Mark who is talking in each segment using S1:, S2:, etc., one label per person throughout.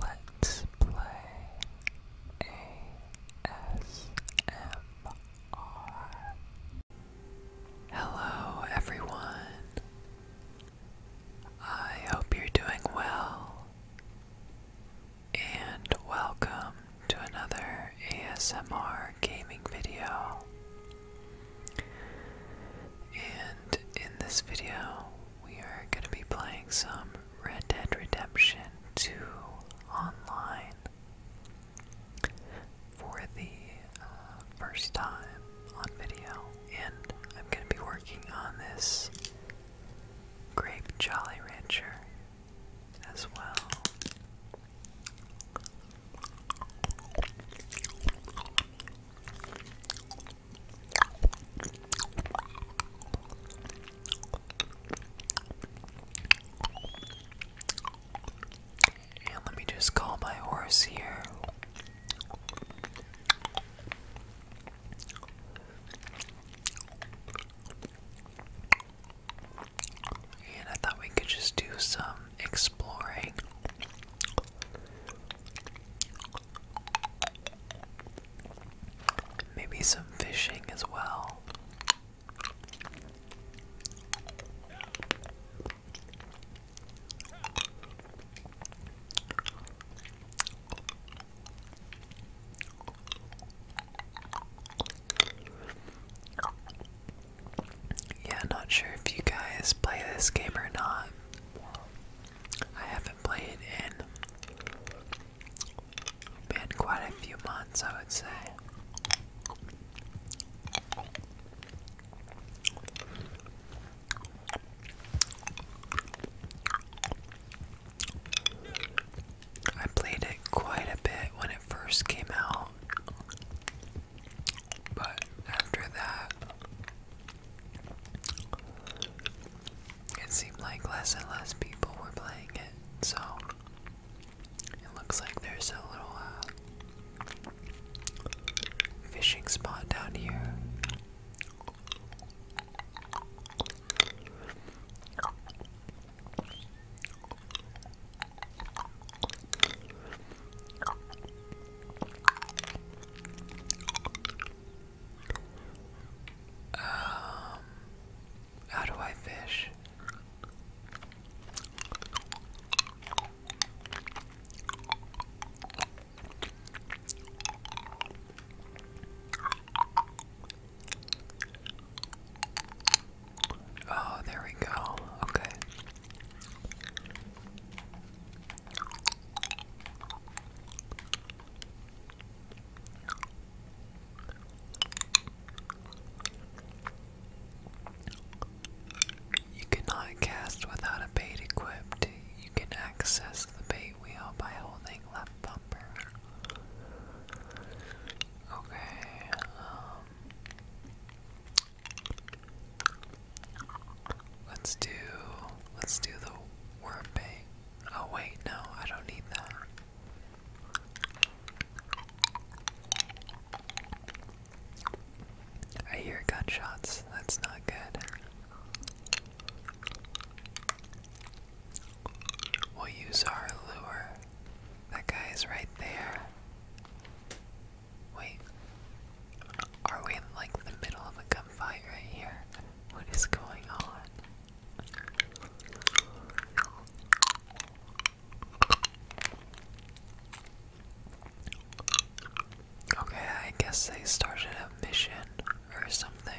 S1: Let's play ASMR. Hello, everyone. I hope you're doing well. And welcome to another ASMR gaming video. And in this video, we are going to be playing some Red Dead Redemption 2 online for the uh, first time on video, and I'm going to be working on this Grape Jolly Rancher as well let me just call my horse here. And I thought we could just do some exploring. Maybe some fishing as well. Yeah, not sure if you guys play this game or not. I haven't played in been quite a few months, I would say. I played it quite a bit when it first came out, but after that, it seemed like less and less people were playing it, so it looks like there's a little uh, fishing spot down here. Um, how do I fish? Oh, there we go. Okay. You cannot cast without a bait equipped. You can access the bait wheel by holding left bumper. Okay, um, Let's do let's do the worm Oh wait, no, I don't need that. I hear gunshots. That's not good. We'll use our lure. That guy is right there. Wait. Are we in like the middle of a gunfight right here? What is going on? Okay, I guess they started a mission or something.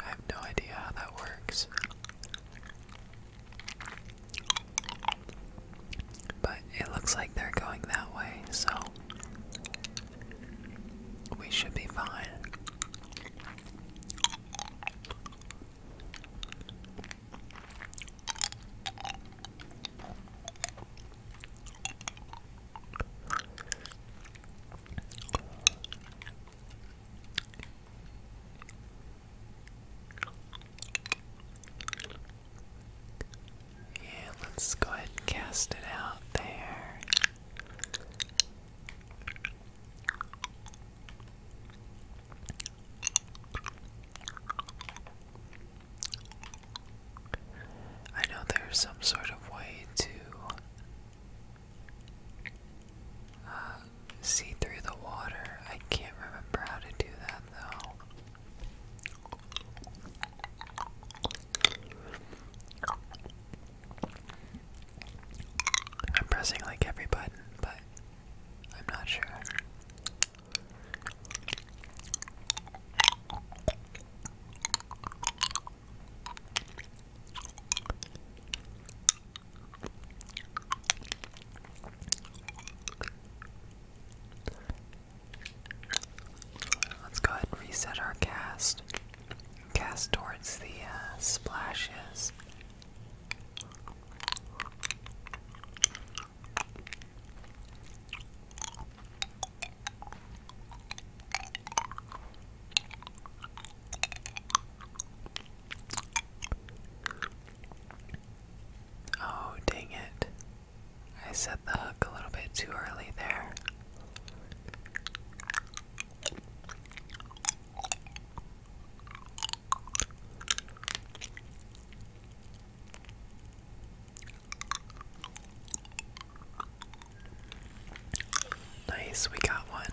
S1: I have no idea how that works. But it looks like they're going that way, so we should be fine. Yeah, let's go ahead and cast it out there. I know there's some sort of way to uh, see through the water. I can't remember how to do that though. I'm pressing like every button, but I'm not sure. Let's go ahead and reset our cast. Cast towards the uh, splashes. Oh, dang it. I set the hook a little bit too early there. Nice, we got one.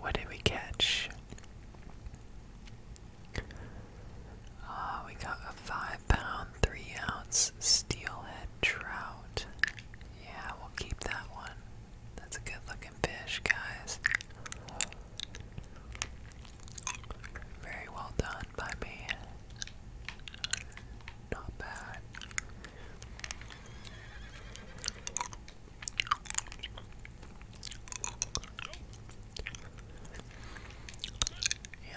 S1: What did we catch? Uh, we got a five pound, three ounce steelhead trout. Yeah, we'll keep that one. That's a good looking fish, guys. Very well done by me. Yeah,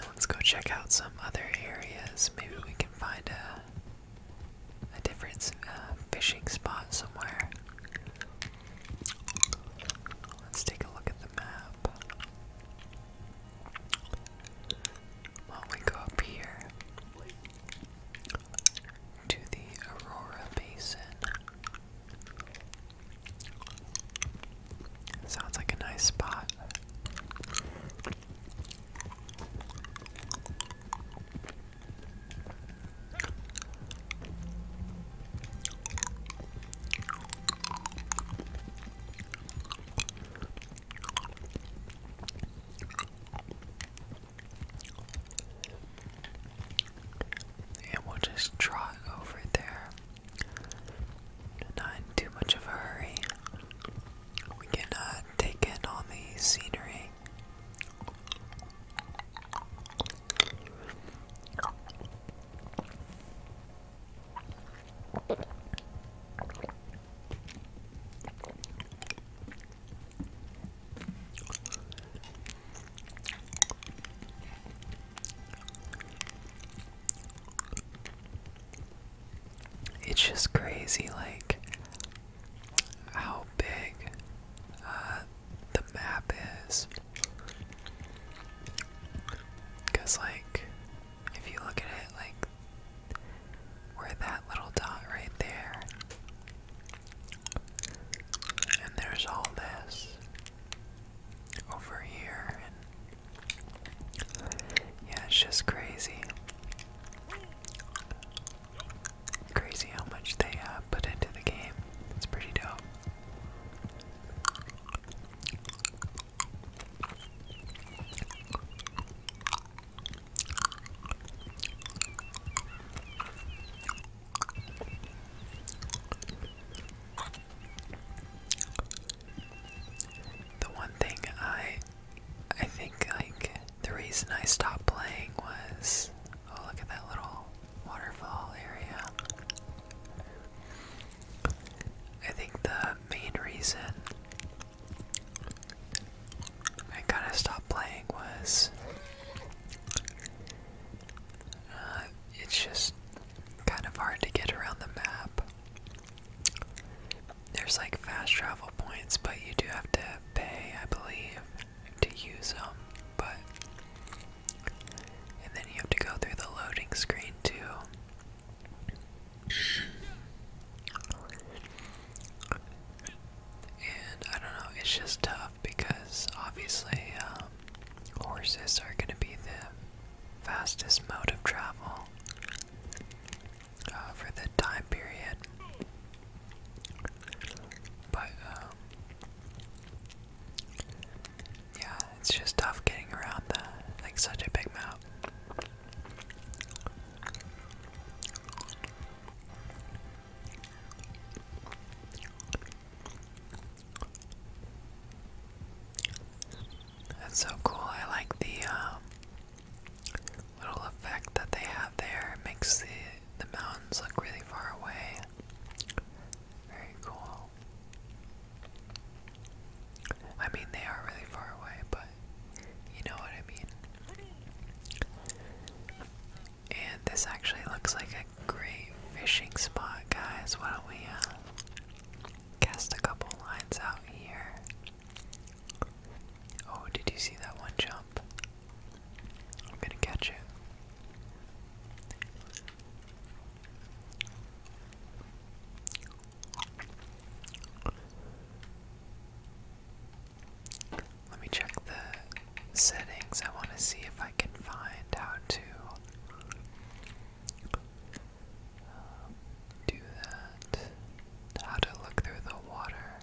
S1: let's go check out some other areas. Maybe we can find a a different uh, fishing spot somewhere. Let's take a look at the map. Well, we go up here to the Aurora Basin. Sounds like a nice spot. And we'll just draw over there. Not too much of a hurry. We can uh, take in all the scenery. It's just crazy, like how big uh, the map is. Because, like, if you look at it like we're that little dot right there. And there's all this over here and yeah, it's just crazy. Crazy how much they uh, put into the game. It's pretty dope. The one thing I I think like the reason I stopped playing was oh look at that little waterfall area. I think the main reason I kind of stopped playing was uh, it's just kind of hard to get around the map. There's like fast travel points, but you do have to pay, I believe, to use them. But and then you have to go through the loading screen too. And I don't know, it's just tough because obviously um, horses are going to be the fastest mode of travel uh, for the time period. But, um, yeah, it's just tough getting around that, like such a big map. That's so cool. I like the um, little effect that they have there. It makes the the mountains look really far away. Very cool. I mean, they are really far away, but you know what I mean. And this actually looks like a great fishing spot, guys. Why don't we uh, cast a couple lines out here? Oh, did you see that one jump? I'm gonna catch it. Let me check the settings. I want to see if I can find how to uh, do that. How to look through the water.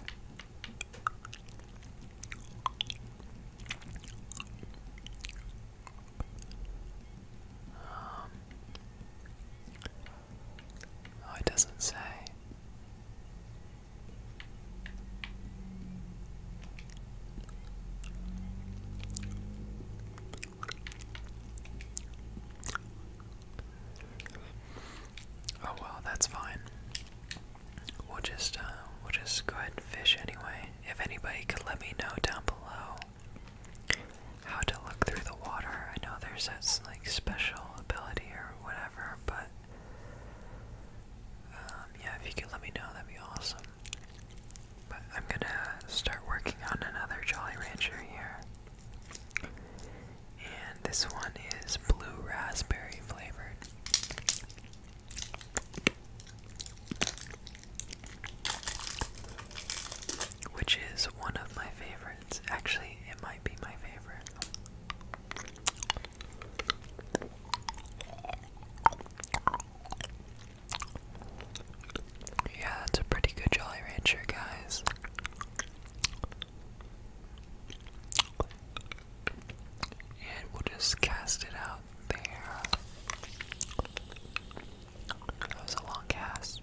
S1: Um, Oh, it doesn't say. Oh well, that's fine. We'll just uh, we'll just go ahead and fish anyway. If anybody could let me know down below how to look through the water. I know there's that like special ability or whatever, but um, yeah, if you could let me know, that'd be awesome. But I'm gonna start working on another Jolly Rancher here. And this one is blue raspberry flavored. Which is one of my favorites it's actually it might be my favorite. Yeah, that's a pretty good Jolly Rancher, guys. And we'll just cast it out there. That was a long cast.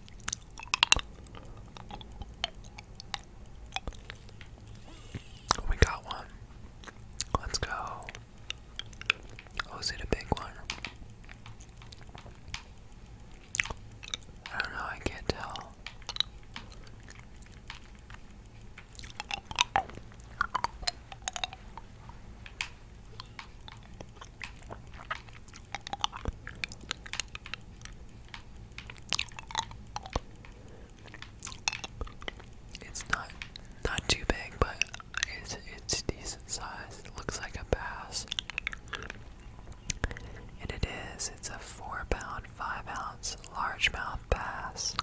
S1: We got one. Let's go. Oh, is it a big one? I don't know, I can't tell. It's not not too big, but it's it's decent size. looks like a bass. And it is. It's a four pound, five ounce largemouth bass.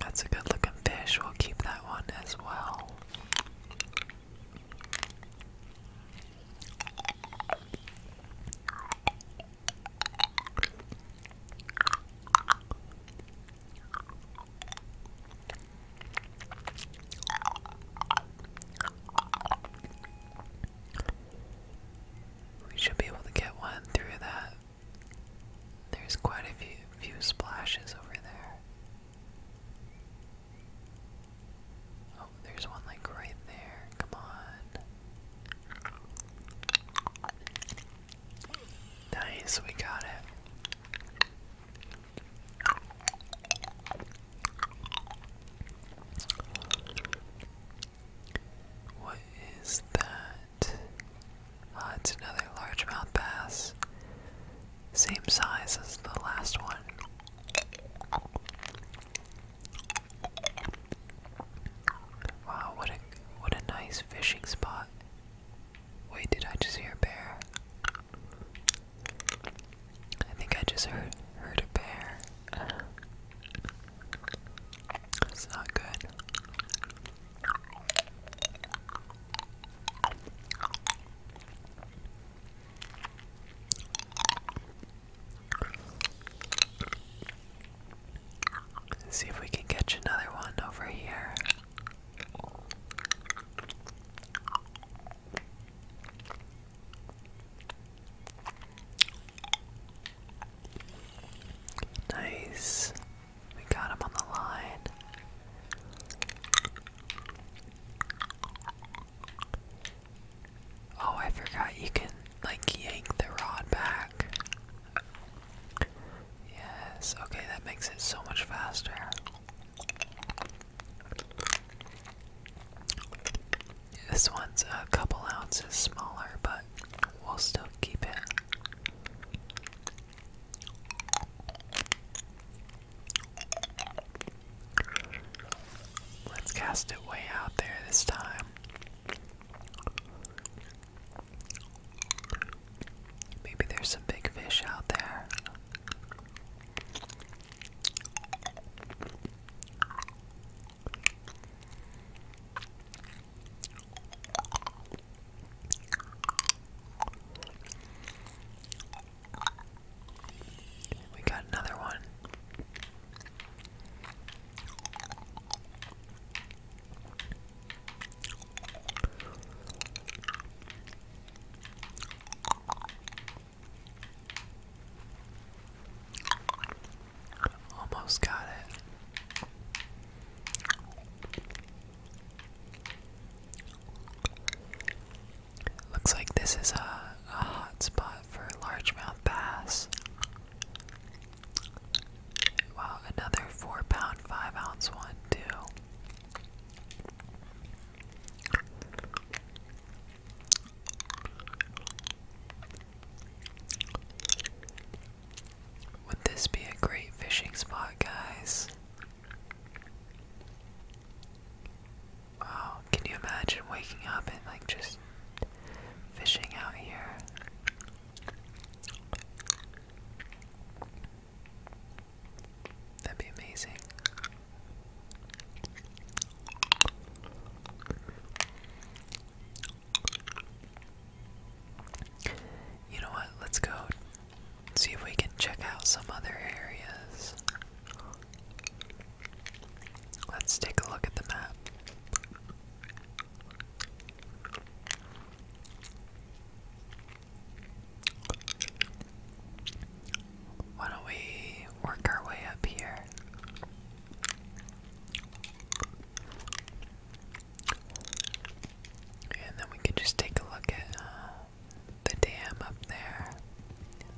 S1: That's a good looking fish. We'll keep that one as well. We should be able to get one through that there's quite a few, splashes over there. Oh, there's one like right there. Come on. Nice, we got it. What is that? Uh, it's another largemouth bass, same size as the last one. Wow, what a what a nice fishing spot. Wait, did I just hear a bear? I think I just heard heard a bear. That's not good see if we can catch another one over here. Nice. We got him on the line. Oh, I forgot you can, like, yank the rod back. Yes, okay, that makes it so much faster. This one's a couple ounces smaller, but we'll still keep it. Let's cast it way out there this time. Maybe there's some big fish out there. We got another one. Almost got it. Looks like this is a, hot spot for largemouth bass. Wow, another four pound, five ounce one, too. Would this be a great fishing spot, guys? Wow, can you imagine waking up and like just fishing out here? That'd be amazing. You know what? Let's go see if we can check out some other areas. Let's take a look at the map. Why don't we work our way up here? And then we can just take a look at uh, the dam up there,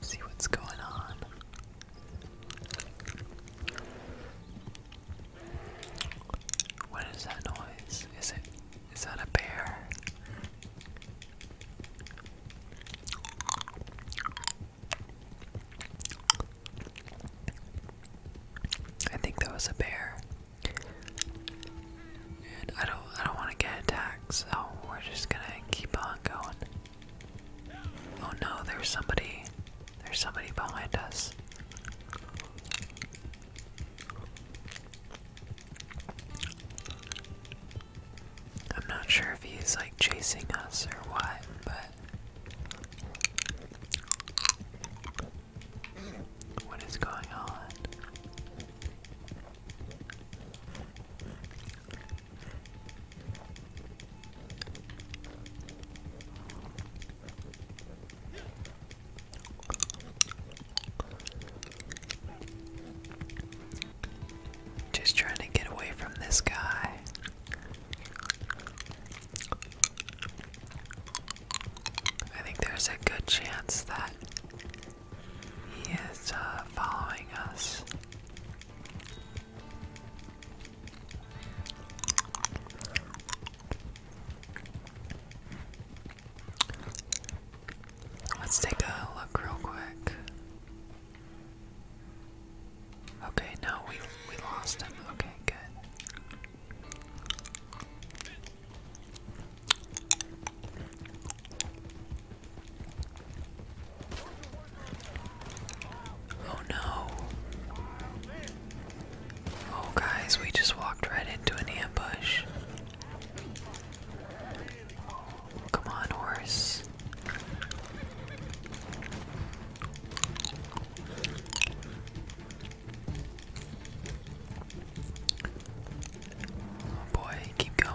S1: see what's going on. What is that noise? Is it is that a bear? I think that was a bear. I don't I don't wanna get attacked, so we're just gonna keep on going. Oh no, there's somebody there's somebody behind us. I'm not sure if he's like chasing us or what, but what is going on? Just trying to get away from this guy. I think there's a good chance that he is uh, following us. Let's take a look real quick. Okay, no, we we lost him. Okay, good. Oh no. Oh, guys, we just walked right into an ambush. Come on, horse. Oh boy, keep going.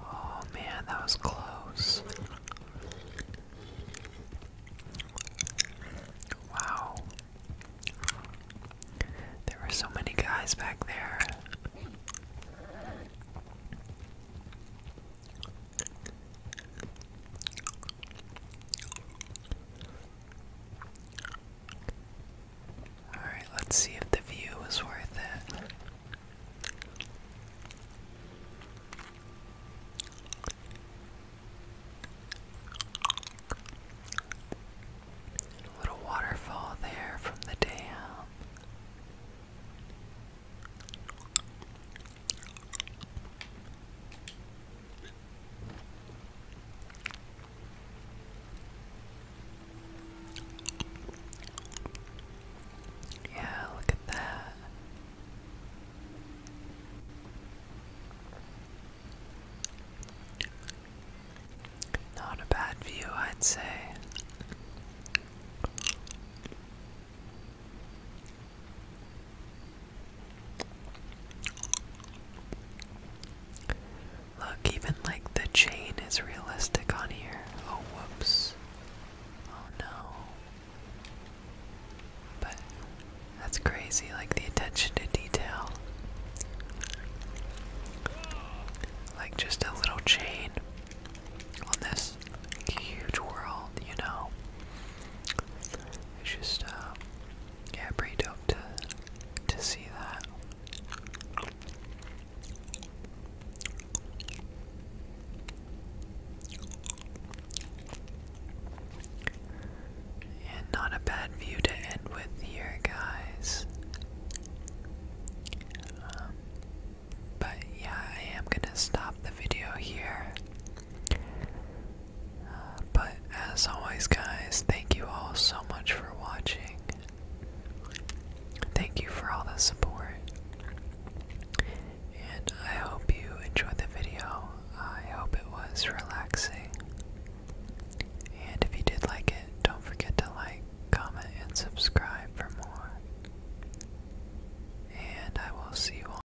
S1: Oh man, that was close. Wow. There were so many guys back there. Alright, let's see if the view is worth it. little waterfall there from the dam. Yeah, look at that. Not a bad view, I'd say. Look, even like the chain is realistic on here. Oh, whoops. Oh no. But that's crazy, like the attention to detail. Like just a little chain on this huge world, you know. It's just, um, yeah, pretty dope to, to see that. And not a bad view to end with here, guys. Um, but yeah, I am gonna stop the video here but as always, guys, thank you all so much for watching. Thank you for all the support. And I hope you enjoyed the video. I hope it was relaxing. And if you did like it, don't forget to like, comment, and subscribe for more. And I will see you all